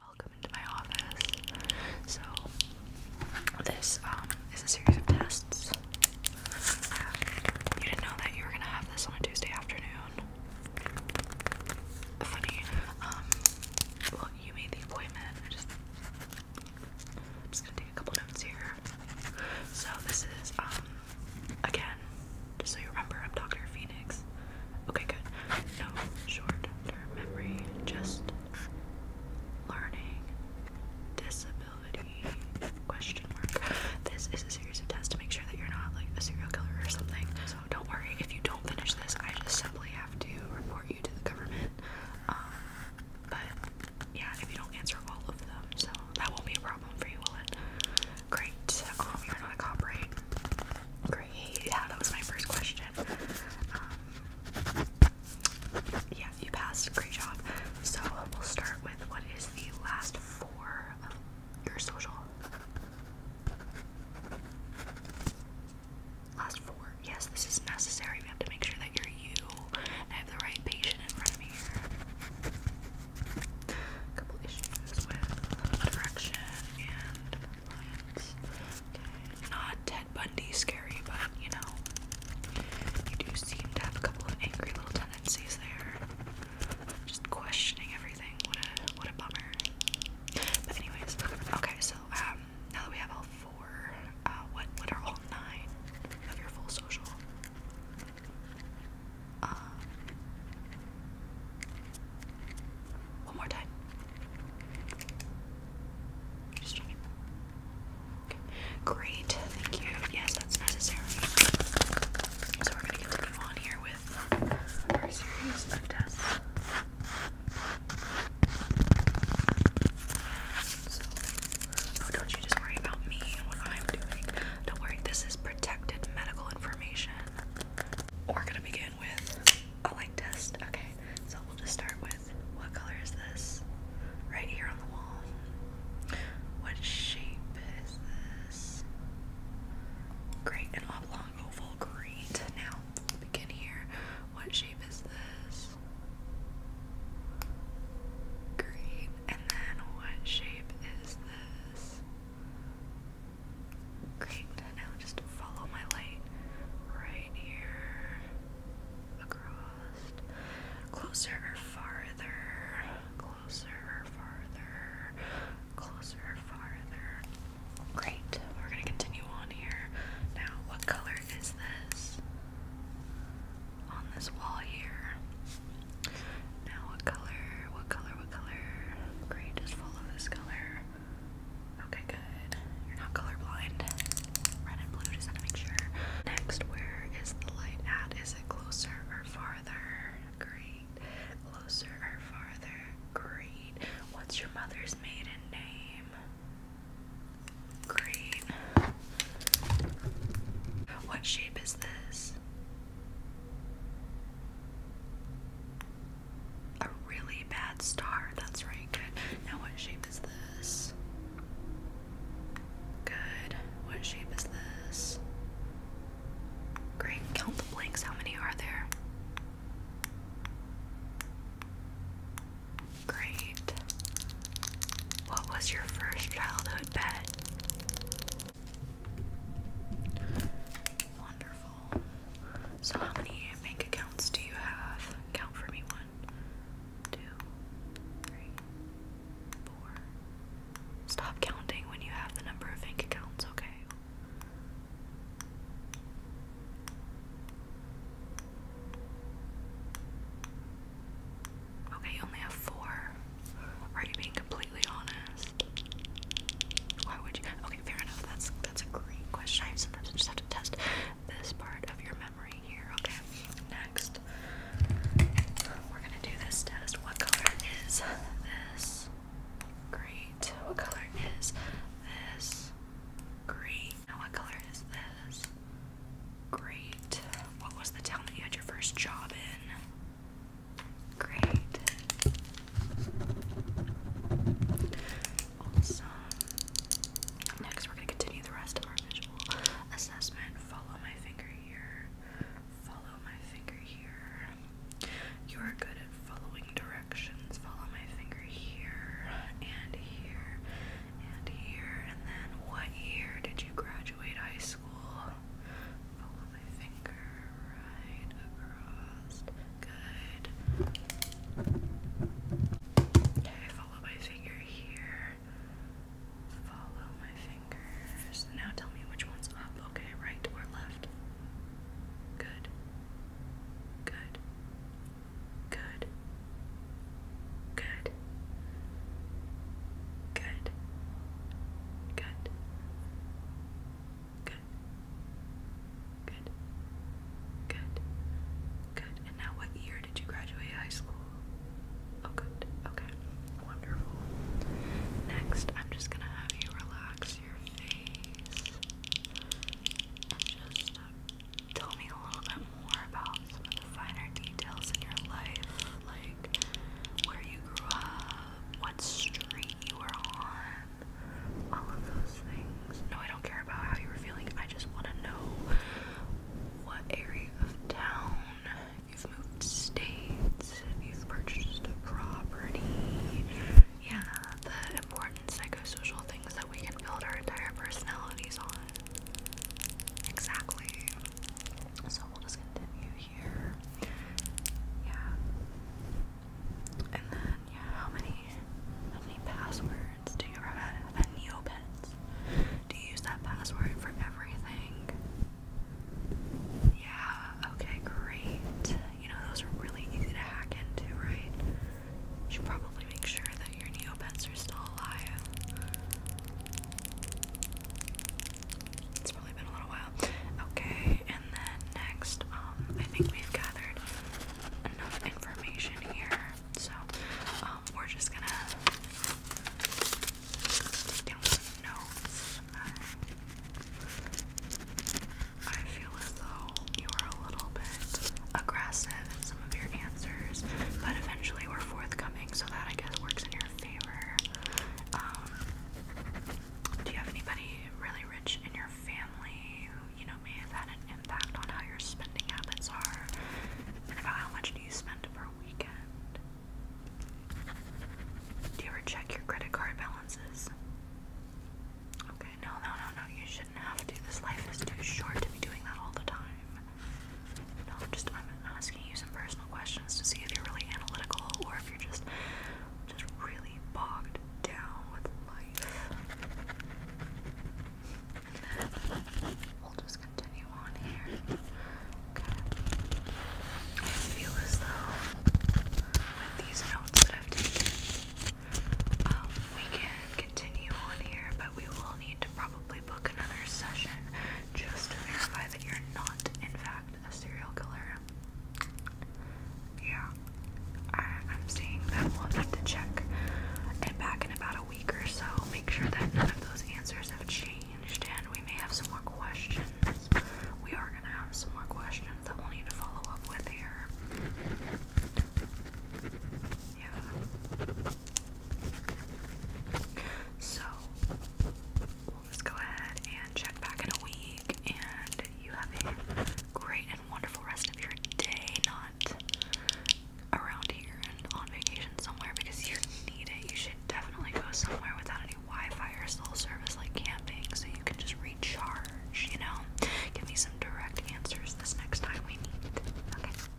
Welcome into my office. So, this um, is a series of tests. Um, you didn't know that you were gonna have this on a Tuesday afternoon. Funny. Um, well, you made the appointment. just, I'm just gonna take a couple notes here. So, this is um, again, just so you remember, I'm Okay, good. No short-term memory, just learning disability question mark. This is a series of tests to make sure that you're not like a serial killer or something. So don't worry if you don't finish this. I just simply have to report you to the government. Um, but yeah, if you don't answer all of them, so that won't be a problem for you, will it? Great. Um, you're not a Great. Yeah, that was my first question. Um, yeah, you passed. Great job. So we'll start with what is the last four of your social? Last four. Yes, this is necessary. We have to make sure that you're you. And have the right patient in front of me A couple issues with direction and not Ted Bundy scary, but you know, you do seem to have a couple of angry little tendencies there. Just questioning everything. What a what a bummer. But anyways, okay. So um, now that we have all four, uh, what what are all nine of your full social? Um, one more time. Great, thank you. Yes, that's necessary. So we're gonna continue on here with our series of tests. So, don't you just worry about me and what I'm doing. Don't worry, this is protected medical information. We're gonna begin begin with a Okay, so we'll just start with what color is this? Right here on the wall. What shape is this? Great, an oblong oval. Great. Now, begin here. What shape is this? Great. And then what shape is this? Great, now just follow my light right here. Across. Closer farther. Closer farther. Closer farther. Great. We're gonna continue on here. Now, what color is this? On this wall here. Now, what color? What color? What color? Great, just follow this color. Okay, good. You're not colorblind. Red and blue, just to make sure. Next, where is the light at? Is it closer or farther? Great. Closer or farther? Great. What's your mother's maiden name? Great. What shape is this? A really bad star. That's right. Good. Now, what shape is this? Good. What shape is this? Great. Count the blanks. How many are there? Great. What was your first childhood pet? Wonderful. So, how many bank accounts do you have? Count for me one, two, three, four. Stop counting when you have the number of bank accounts, okay? Okay, only four. Are you being completely honest? Why would you? Okay, fair enough. That's that's a great question. I sometimes just have to test this part of your memory here. Okay, next we're gonna do this test. What color is this? Great. What color is this? Great. Now what color is this? Great. What was the town that you had your first job in? Great. Awesome. Next, we're going to continue the rest of our visual assessment. Follow my finger here. Follow my finger here. You are good at following directions. Follow my finger here and here and here. And then, what year did you graduate high school? follow my finger right across. Good. Okay, follow my finger here. Follow my fingers. Now tell me which one's up. Okay, right or left? Good. Good. Good. Good. Good. Good. Good. Good. Good. Good. Good. And now what year did you graduate high school? Oh good. Okay. Wonderful. Next, I'm just gonna have you relax your face just uh, tell me a little bit more about some of the finer details in your life, like where you grew up, what street you were on, all of those things. No, I don't care about how you were feeling. I just want to know what area of town you've moved states, you've purchased a property. Yeah, the important psychosocial things that we can build our entire personalities on. Exactly. So we'll just continue yeah. And then yeah, how many how many passwords do you ever have at Neopets? Do you use that password for everything? Yeah, okay, great. You know those are really easy to hack into, right? You should probably make sure that your Neopets are still alive. It's probably been a little while. Okay, and then next, um, I think we've gathered enough information here. So, um, we're just gonna take down some I feel as though you were a little bit aggressive in some of your answers, but eventually we're forthcoming, so that I guess works in your favor. Um, do you have anybody really rich in your family who, you know, may have had an impact on how your spending habits are? And about how much do you spend per weekend? Do you ever check your credit card balances? Okay, no, no, no, no, you shouldn't have to. This life is too short to be doing that all the time. No, just I'm asking you some personal questions to see if you're really analytical or if you're just just really bogged down with life. And then we'll just continue on here. Okay. I feel as though with these notes that I've taken, um, we can continue on here, but we will need to probably book another session just to verify that you're not, in fact, a serial killer. Yeah, I, am seeing that we'll have to check, and back in about a week or so, make sure that none of those answers have changed, and we may have some more questions. We are gonna have some more questions that we'll need to follow up with here. Yeah. So, let's go ahead and check back in a week. And you have a great and wonderful rest of your day, not around here and on vacation somewhere because you need it. You should definitely go somewhere without any Wi Fi or cell service like camping so you can just recharge, you know? Give me some direct answers this next time we meet. Okay.